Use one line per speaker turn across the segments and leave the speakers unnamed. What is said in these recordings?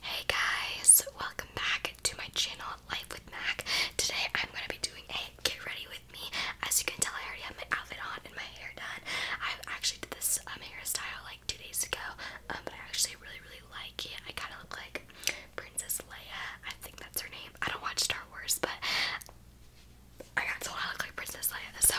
Hey guys, welcome back to my channel, Life with Mac. Today I'm gonna be doing a get ready with me. As you can tell, I already have my outfit on and my hair done. I actually did this um, hairstyle like two days ago, um, but I actually really, really like it. I kind of look like Princess Leia. I think that's her name. I don't watch Star Wars, but I got told I look like Princess Leia. So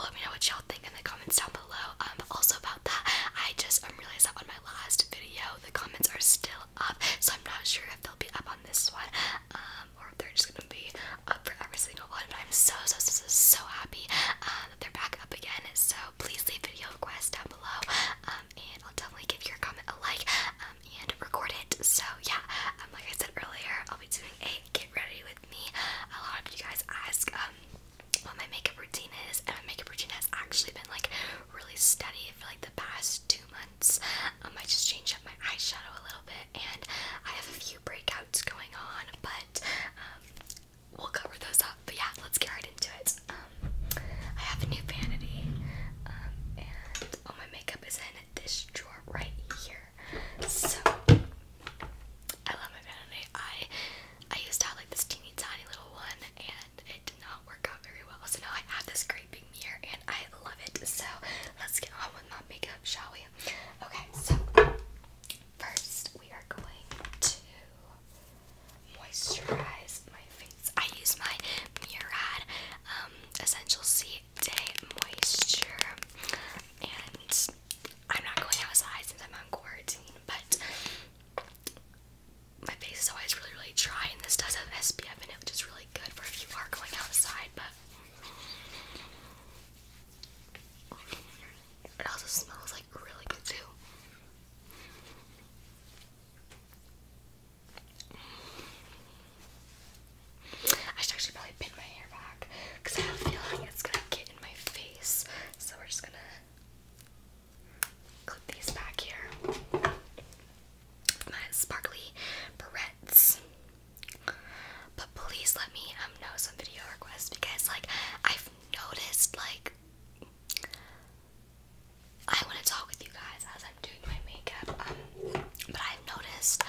let me know what y'all think in the comments down below below. Um, also about that, I just um, realized that on my last video, the comments are still up, so I'm not sure if they'll be up on this one, um, or if they're just gonna be up for every single one. But I'm so so so so, happy uh, that they're back up again. So please leave video requests down below, um, and I'll definitely give your comment a like um, and record it. So yeah, um, like I said earlier, I'll be doing a get ready with me. A lot of you guys ask um what my makeup routine is, and my makeup routine has actually been like really steady for like the past two months. Um, I just changed up my eyeshadow a little bit, and I have a few breakouts going on, but um, we'll cover those up. But yeah, let's get right into it. Um, I have a new vanity, um, and all my makeup is in this drawer right here. So I love my vanity. I I used to have like this teeny tiny little one and it did not work out very well. So now I have this great big mirror and I love it. So let's get on with my makeup, shall we? Okay, so first we are going to moisturize my face. I use my Murad um, Essential C Day Moisture and I'm not going outside since I'm on quarantine, but my face is always really, really dry, and this does have SPF in it, which is really good for if you are going outside, but it also smells like really good too. I should actually probably pin my hair back because I have a feeling it's gonna get in my face. So we're just gonna clip these back here. My sparkly barrettes. But please let me um, know some video requests because like I've noticed like I want to talk with you guys as I'm doing my makeup. Um, but I've noticed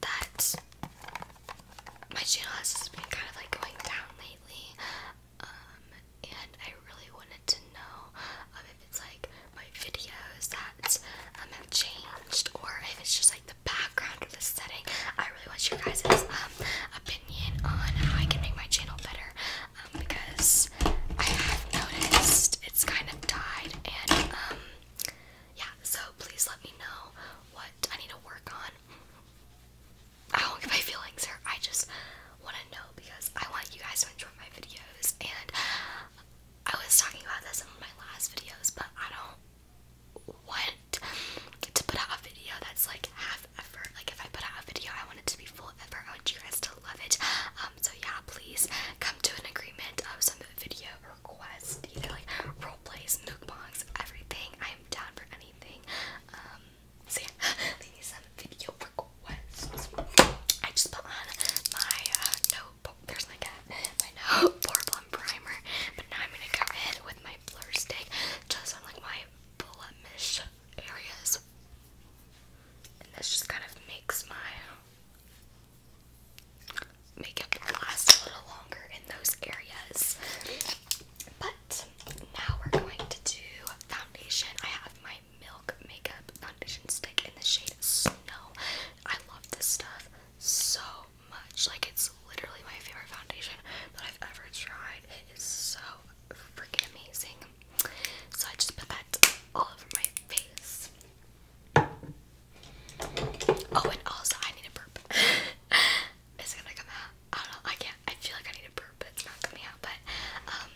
that my channel has been kind of like going down lately, um, and I really wanted to know if it's like my videos that um, have changed or if it's just like the background or the setting. I really want your guys' um, opinion on how I can make my channel better um, because I have noticed it's kind of died and yeah, so please let me know what I need to work on. I don't get my feelings hurt. I just want to know because I want you guys to enjoy my videos. And I was talking about this in my last videos, but I don't want to put out a video that's like half effort. Like if I put out a video, I want it to be full effort. I want you guys to love it. Um, so yeah, please come to an agreement of some video requests, either like role plays, mukbangs, everything. I am down for um, I just put on my uh, notebook. There's my My note Portland primer. But now I'm gonna go in with my blur stick just on like my blemish areas. And this just kind of makes my makeup last a little longer in those areas. But now we're going to do foundation. I have my Milk Makeup Foundation Stick in the shade Snow. I love this stuff so much. Like, it's literally my favorite foundation that I've ever tried. It is so freaking amazing. So I just put that all over my face. Oh, and also I need a burp. is gonna come out? I don't know. I can't. I feel like I need a burp, but it's not coming out. But um,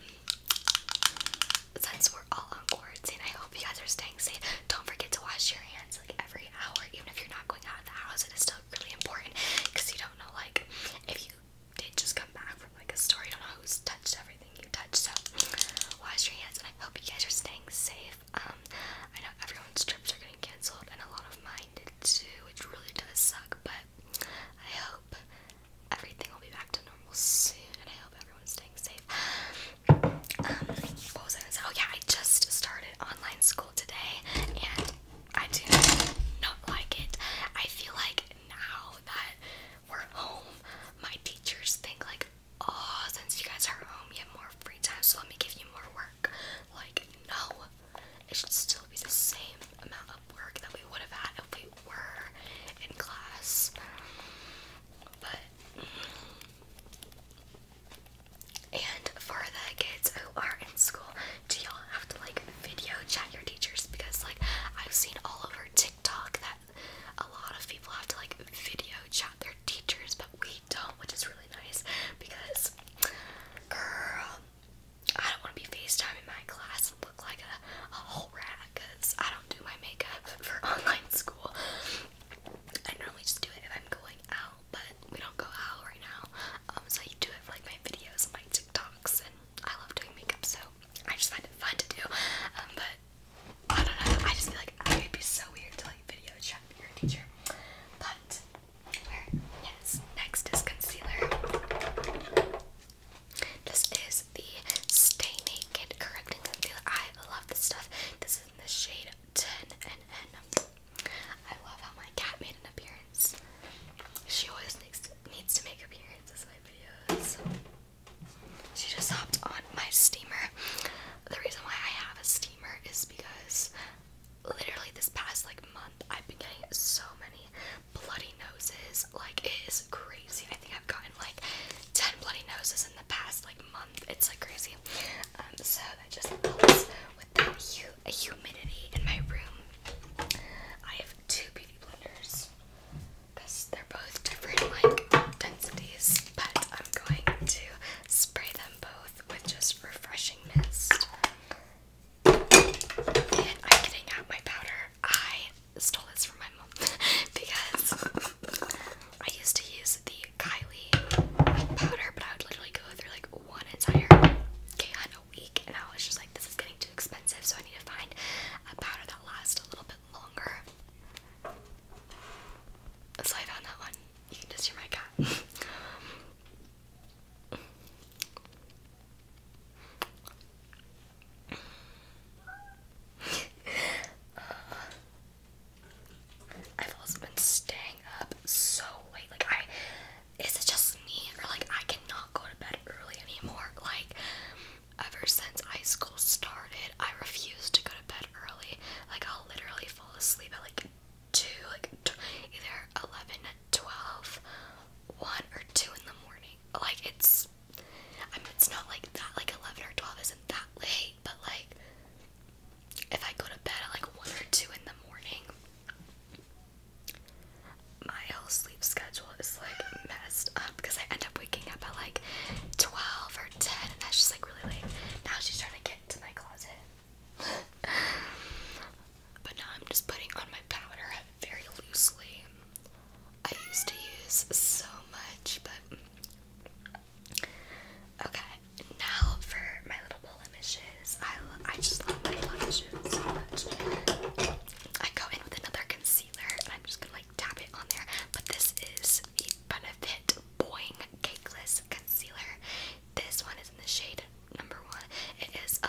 since we're all on quarantine, I hope you guys are staying safe. Don't forget to wash your hands like every hour, even if you're not going out of the house. It is still really important because you don't know like if you did just come back from like a store, you don't know who's touched everything you touched. So wash your hands, and I hope you guys are staying safe. Um, I know everyone's trips are getting canceled, and a lot of my I really does suck, but I hope everything will be back to normal soon, and I hope everyone's staying safe. Um, oh yeah, I just started online school today, and I do not like it. I feel like now that we're home, my teachers think like, oh, since you guys are home, you have more free time, so let me give you more work. Like, no, it should still be the same amount of work that we would have had if we were in class. But and for the kids who are in school, do y'all have to like video chat your teachers? Because like I've seen all over TikTok that a lot of people have to like video chat their teachers, but we feet tall, which is really nice because, girl, I don't want to be FaceTiming my class and look like a, a whole rat because I don't do my makeup for online school. I normally just do it if I'm going out, but we don't go out right now. Um, so I do it like my videos and my TikToks, and I love doing makeup, so I just find it fun to do. Um, but I don't know. I just feel like it would be so weird to like video chat with your teacher, but Yes, next is concealer. This is the Stay Naked Correcting Concealer. I love this stuff. This is in the shade 10 and N. I love how my cat made an appearance. She always needs, needs to make appearances in my videos. She just hopped on my steamer. The reason why I have a steamer is because literally this past like month I've been getting so many bloody noses. Like it is crazy. I think I've gotten like 10 bloody noses in the past like month. It's like crazy. Um, so that just helps with that hu humidity in my room. I have two beauty blenders because they're both different like densities, but I'm going to spray them both with just refreshing mist. I'm getting out my powder. I stole this from my mom because I used to use the Kylie powder, but I would literally go through like one entire can a week, and I was just like, this is getting too expensive, so I need to find a powder that lasts a little bit longer. So I found that one. You can just hear my cat. I've also been staying up so late. Like I is it just me or like I cannot go to bed early anymore? Like ever since high school started, I refuse to go to bed early. Like I'll literally fall asleep at like 2, like t either 11, 12, 1 or 2 in the morning. Like, it's, I mean, it's not like that, like 11 or 12 isn't that late, but like, if I go to bed at like 1 or 2 in the morning, my whole sleep schedule is like messed up because I end up waking up at like 12 or 10, and that's just like really late. Now she's trying to get into my closet but now I'm just putting on my powder very loosely. I used to use so much, but okay. Now for my little blemishes. I I just love my blemishes so much. I go in with another concealer and I'm just gonna like dab it on there. But this is the Benefit Boing Cakeless Concealer. This one is in the shade number one, it is a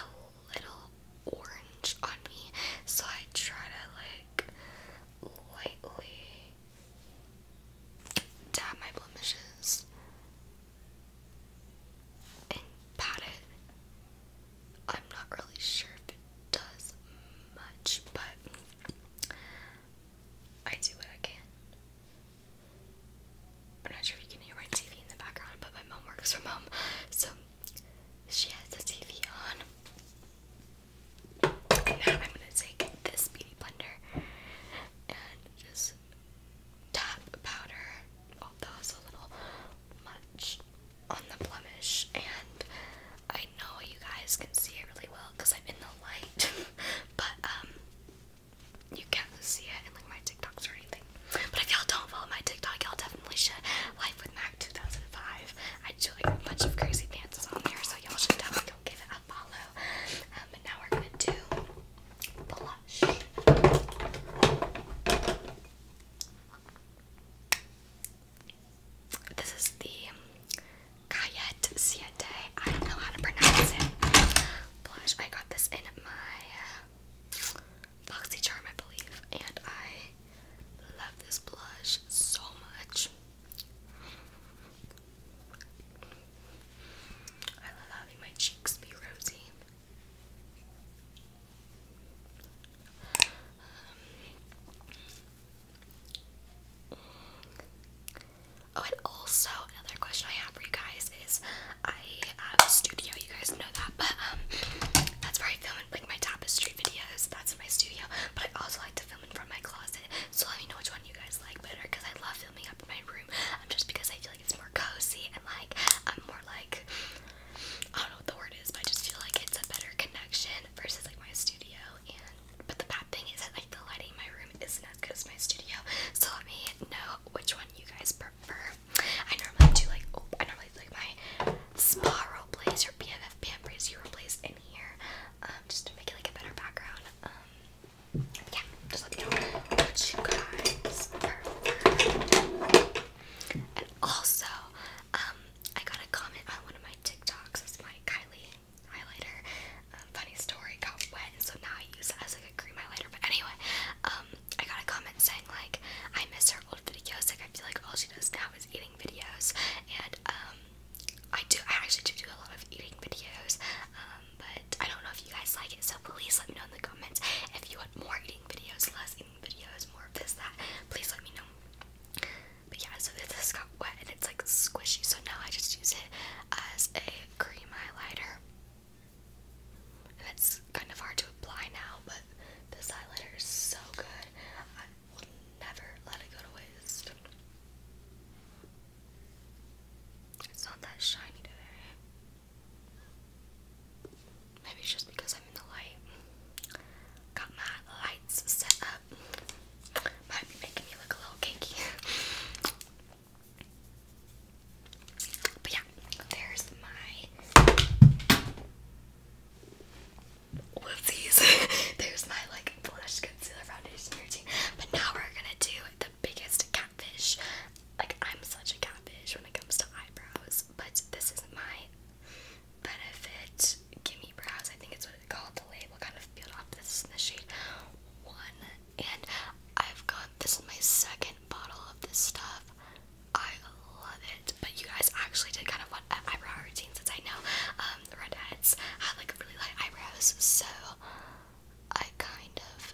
little orange on me, so I try to like lightly dab my blemishes and pat it. I'm not really sure if it does much, but I do what I can. I'm not sure if you can hear my TV in the background, but my mom works from home, so she has the TV on. now I'm gonna take this beauty blender and just tap powder, although it's a little much on the blemish. And I know you guys can see it really well because I'm in the light, but um, you can't see it in like my TikToks or anything. But if y'all don't follow my TikTok, y'all definitely should. Life with Mac 2005. I do like a bunch of crazy dances on there, so y'all should definitely go give it a follow. Um, now we're gonna do blush. This is the Cayette I don't know how to pronounce it. Blush. I got this in my um, Charm, I believe, and I love this blush so much. I love having my cheeks be rosy. Um, oh, and also another question I have for you guys is I have uh, a studio, you guys know that, but um, that's where I film like my tapestry videos. That's my studio, but I also like to film in from my closet. So let me know which one you guys like better, because I love filming up in my room. Um, just because I feel like it's more cozy and like I'm um, more like I don't know what the word is, but I just feel like it's a better connection versus like my studio. And but the bad thing is that like the lighting in my room isn't as good as my studio. So let me know which one you guys prefer. I normally do like oh, I normally do like my spa Blazer blaze or BFF pan blaze in here, um, just to make it like a better background. Um, yeah, just let me know what you And also, um, I got a comment on one of my TikToks. It's my Kylie highlighter. Um, funny story, got wet, so now I use it as like a cream highlighter. But anyway, um, I got a comment saying like I miss her old videos. Like I feel like all she does now is eating videos, and um, I do. I actually do do a lot of eating videos, um, but I don't know if you guys like it. So please let me know in the comments if you want more eating videos, less eating videos, more of this that. Please let me know. But yeah, so this got wet and it's like squishy, so now I just use it as a cream highlighter it's kind of hard to apply now, but this highlighter is so good. I will never let it go to waste. It's not that shiny today. Maybe it's just because I'm in the light. Got my lights set up. Might be making me look a little kinky. But yeah, there's my whoopsies. there's my like blush concealer foundation routine. But now we're gonna do the biggest catfish. Like I'm such a catfish when it comes to eyebrows, but this is my benefit gimme brows. I think it's what it's called. The label kind of peeled off. This is in the shade one, and I've got this is my second bottle of this stuff. I love it. But you guys actually did kind of what uh, eyebrow routine since I know um, the redheads have like really light eyebrows. So I kind of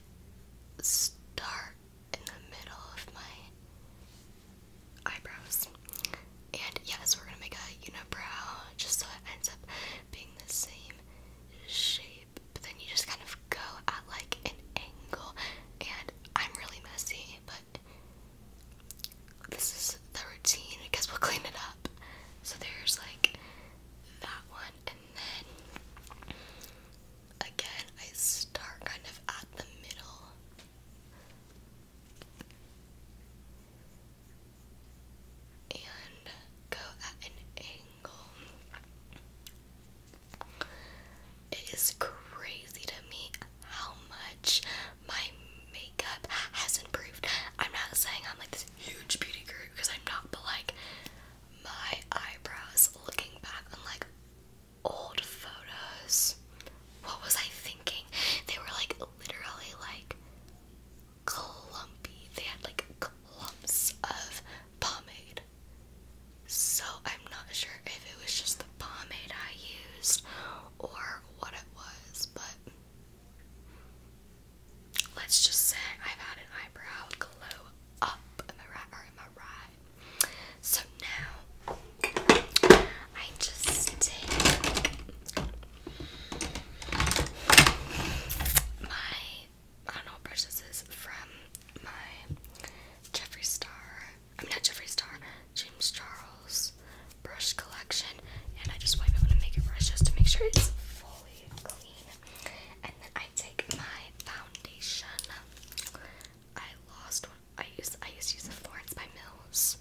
start in the middle of my eyebrows. And yes, we're gonna make a unibrow just so it ends up being the same shape shape, but then you just kind of go at like an angle. And I'm really messy, but this is the routine. I guess we'll clean it up. So there's like that one, and then again, I start kind of at the middle. And go at an angle. It is crazy to me how much my makeup has improved. I'm not saying I'm like this huge beauty guru because I'm not, but like my eyebrows looking back on like old photos. What was I thinking? They were like literally like clumpy. They had like clumps of pomade so I'm not sure if it was just the pomade I used or what it was, but let's just say I've had an eyebrow glow up. Am I right? So now I just take my I don't know what brush this is from my Jeffree Star, I'm mean not Jeffree Star, James Charles brush collection, and I just wipe it with make it brush just to make sure it's fully clean. And then I take my foundation. I lost I used I used to use the Florence by Mills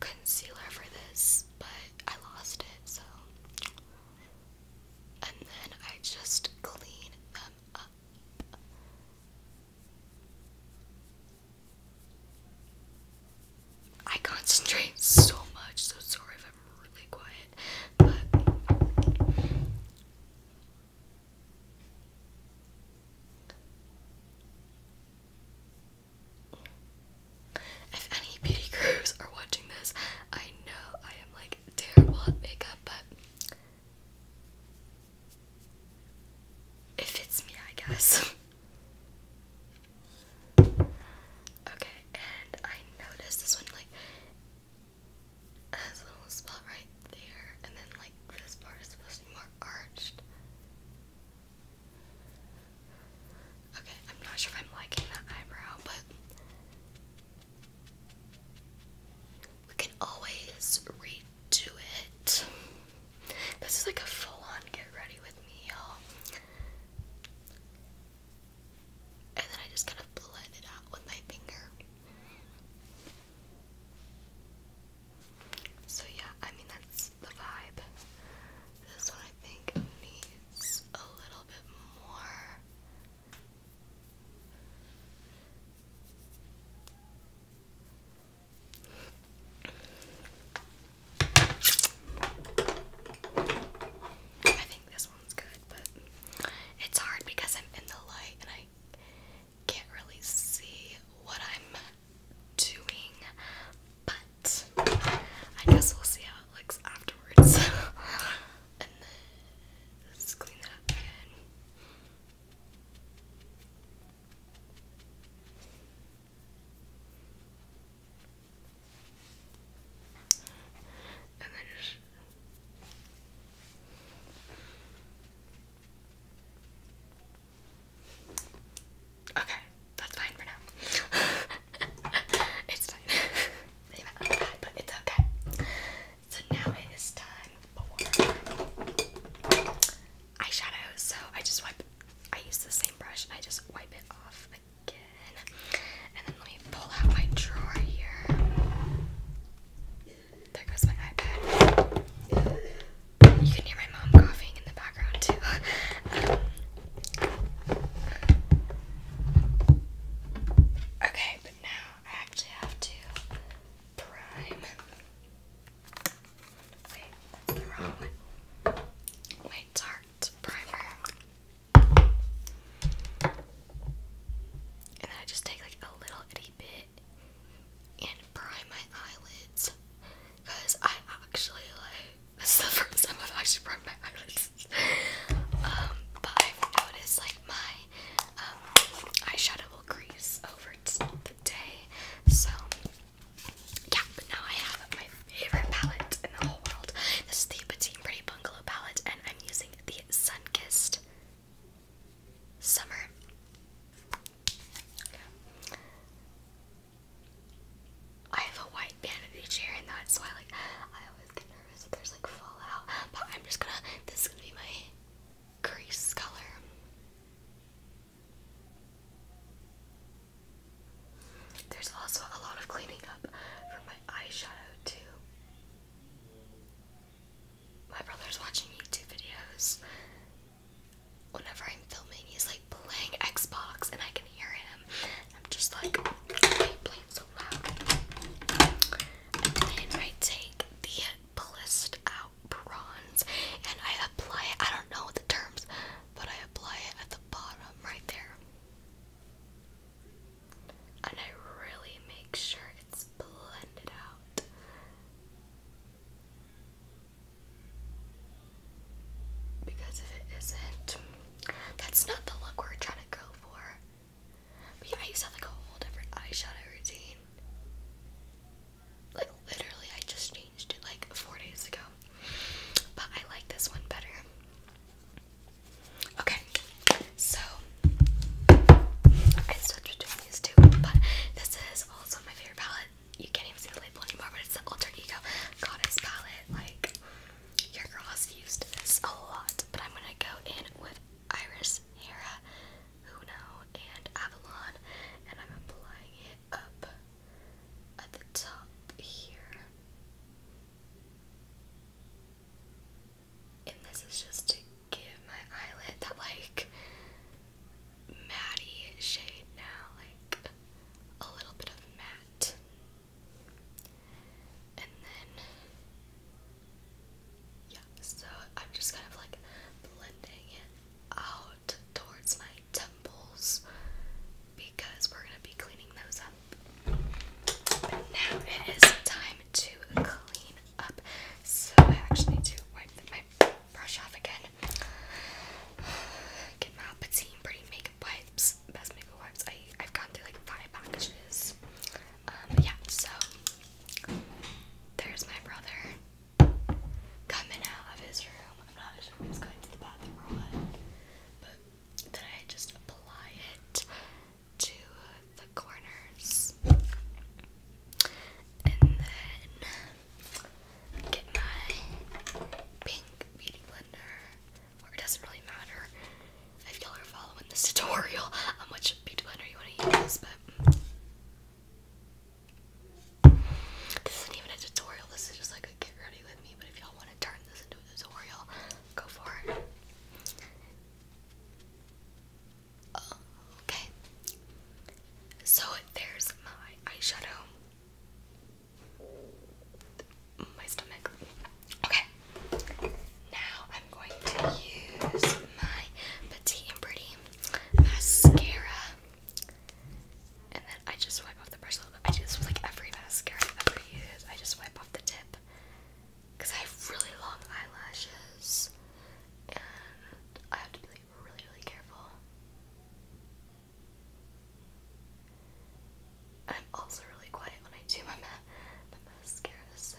concealer for this, but I lost it so. And then I just clean them up. I concentrate so much, so sorry if I'm really quiet. if any beauty gurus are watching this, I know I am like terrible at makeup, but it fits me, I guess. okay, and I noticed this one like has a little spot right there, and then like this part is supposed to be more arched. Okay, I'm not sure if I'm liking that eyebrow, but we can always redo it. This is like a full on get ready with me, y'all. And then I just kind of blend it out with my finger. So, yeah, I mean, that's the vibe. This one I think needs a little bit more I think this one's good, but it's hard because I'm in the light and I can't really see what I'm doing, but I guess we'll see how it looks afterwards. and then let's clean that up again. And then Okay, that's fine for now. it's fine. but it's okay. So now it is time for eyeshadow. So I just wipe, I use the same brush and I just wipe it off again. And then let me pull out my drawer here. There goes my iPad. You can hear my mom coughing in the background too. okay, but now I actually have to Wait, the wrong one. Wait, Tarte primer. And then I just take like a little itty bit and prime my eyelids. Because I actually like this is the first time I've actually primed my eyelids. um, but I've noticed like my um, eyeshadow will crease over the day. So, yeah, but now I have my favorite palette in the whole world. This is the Petite Pretty Bungalow palette, and I'm using the Sunkissed Summer. I have a white vanity chair, and that's why, like, I always nervous if there's like fallout. But I'm just gonna. This is gonna be my Grease color. There's also a lot of cleaning up from my eyeshadow too. My brother's watching YouTube videos. Whenever I'm filming, he's like playing Xbox and I can hear him. I'm just like, playing so loud? And then take the Blissed Out bronze and I apply it. I don't know the terms, but I apply it at the bottom right there. And I really make sure it's blended out. Because if it isn't, that's not the look we're trying to go for. But yeah, I used to have like a whole different eyeshadow routine. Like literally, I just changed it like four days ago. But I like this one better. Okay, so I switched between these two, but this is also my favorite palette. You can't even see the label anymore, but it's the Alter Ego Goddess palette. Like, your girl used this a lot, but I'm gonna go in with Iris, Hera, Uno, and Avalon, and I'm applying it up at the top here. And this is just to give my eyelid that like matty shade now, like a little bit of matte. And then yeah, so I'm just kind of like blending it out towards my temples because we're gonna be cleaning those up. now it is time to clean up. So I actually need to wipe my brush off again. Get my Petite Pretty Makeup Wipes, Best Makeup Wipes. I, I've gone through like five packages. Um, yeah, so there's my brother coming out of his room. I'm not sure if he's going to the bathroom or what, but then I just apply it to the corners and then get my pink beauty blender. Or it doesn't really matter if y'all are following this tutorial which beauty blender you want to use, but this isn't even a tutorial, this is just like a get ready with me, but if y'all want to turn this into a tutorial, go for it. Oh, okay. So there's my eyeshadow. My stomach. Okay. Now I'm going to use my Petite and Pretty mascara, and then I just wipe off the brush I do like every mascara I ever use. I just wipe off the tip because I have really long eyelashes, and I have to be really, really careful. I'm also really quiet when I do my, ma my mascara, so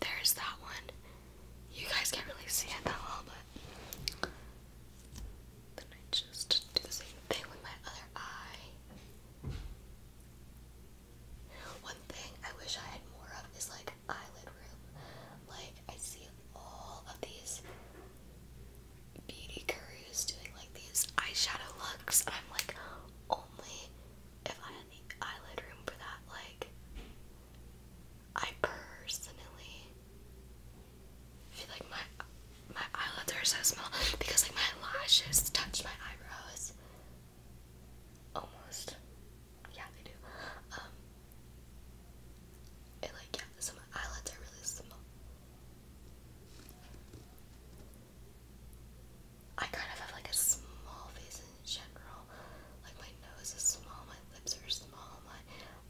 There's that one. You guys can't really see it that well, but then I just do the same thing with my other eye. One thing I wish I had more of is like eyelid room. Like I see all of these beauty gurus doing like these eyeshadow looks, I'm like, only if I had the eyelid room for that, like, I personally feel like my my eyelids are so small because like my lashes touch my eyebrows almost. Yeah, they do. Um, it like yeah, so my eyelids are really small. I kind of have like a small face in general. Like my nose is small, my lips are small, my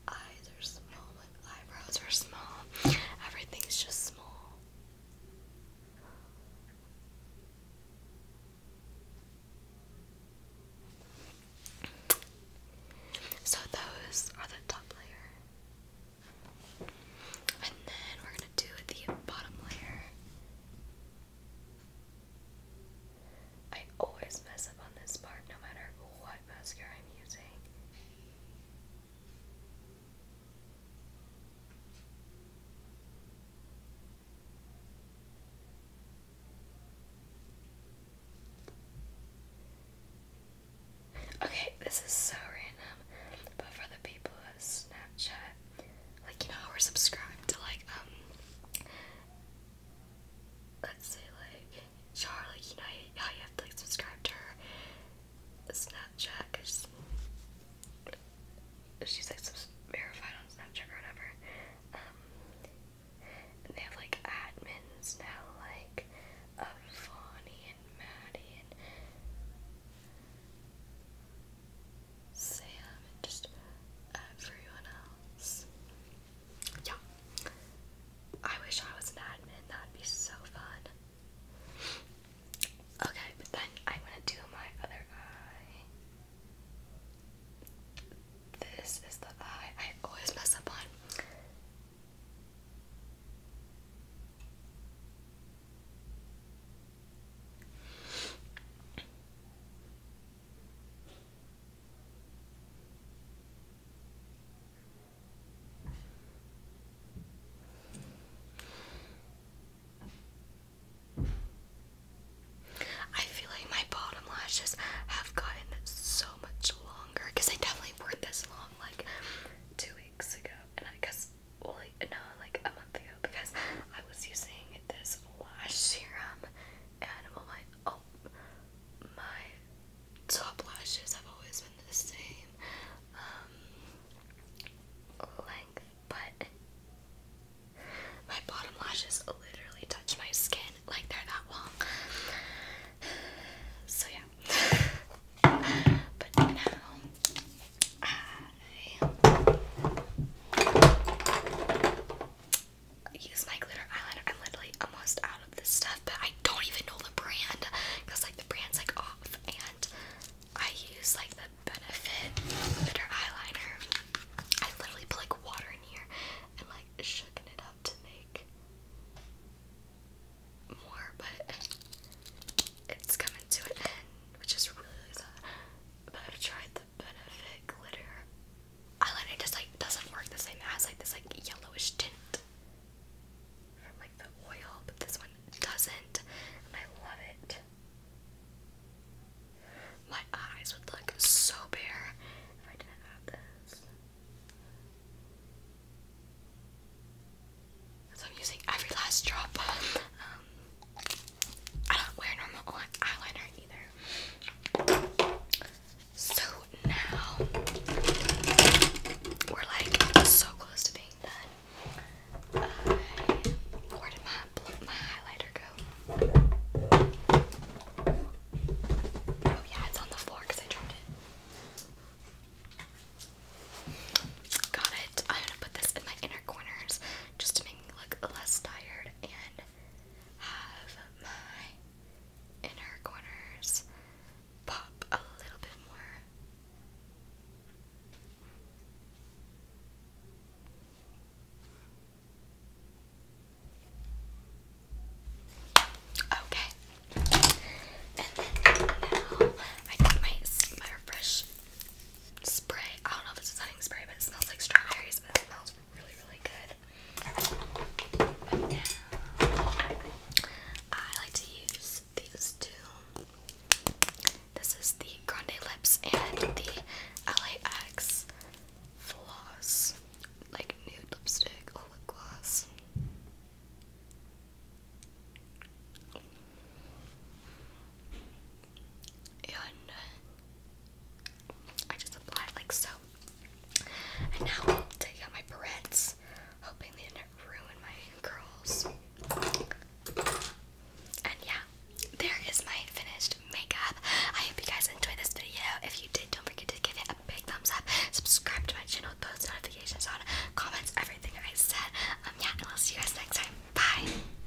eyes are small, my eyebrows are small. Everything's just small. So those are the top layer. And then we're going to do the bottom layer. I always mess up on this part no matter what mascara I'm using. Okay, this is so random, but for the people of Snapchat like you know we're subscribed to like um let's say like Charlie, you know how you have like subscribe to Snapchat because she's like verified on Snapchat or whatever. Um, and they have like admins now, like of and Maddie and Sam and just everyone else. Yeah. I wish I was an admin. That'd be so fun. Okay, but then I want to do my other eye. This is the eye I always mess up on. I feel like my bottom lashes have gotten so much longer because I definitely wore this long like two weeks ago, and I guess no, like a month ago because I was using this lash serum and my oh my top lashes have always been the same um, length but my bottom lashes literally touch my skin like they're that long. So yeah. but now I use my glitter eyeliner. I'm literally almost out of this stuff, but I don't even know the brand because like the brand's like off, and I use like the Benefit glitter eyeliner. I literally put like water in here and like shaking it up to make more, but it's coming to an end, which is really sad. Uh, but I've tried the Benefit glitter eyeliner just like doesn't work the same. It has like this like yellowish tint from like the oil, but this one doesn't, and I love it. My eyes would look so bare if I didn't have this. So I'm using every last drop. Um, I don't wear normal eyeliner either. So now we're like so close to being done. where did my my highlighter go? Oh yeah, it's on the floor because I dropped it. Got it. I'm gonna put this in my inner corners just to make look less tired and have my inner corners pop a little bit more. Okay. And now I take my my refresh spray. I don't know if it's a setting spray, but it smells like strawberries, but it smells really, really good. I like to use these two. This is the Grande Lips and the LAX Floss, like nude lipstick or oh, lip gloss and uh, I just apply it like so. And now take out my barrettes, hoping they didn't ruin my curls. And yeah, there is my finished makeup. I hope you guys enjoyed this video. If you did, don't forget to give it a big thumbs up, subscribe to my channel, post notifications on, comments, everything I said. Um, yeah, and I'll see you guys next time. Bye!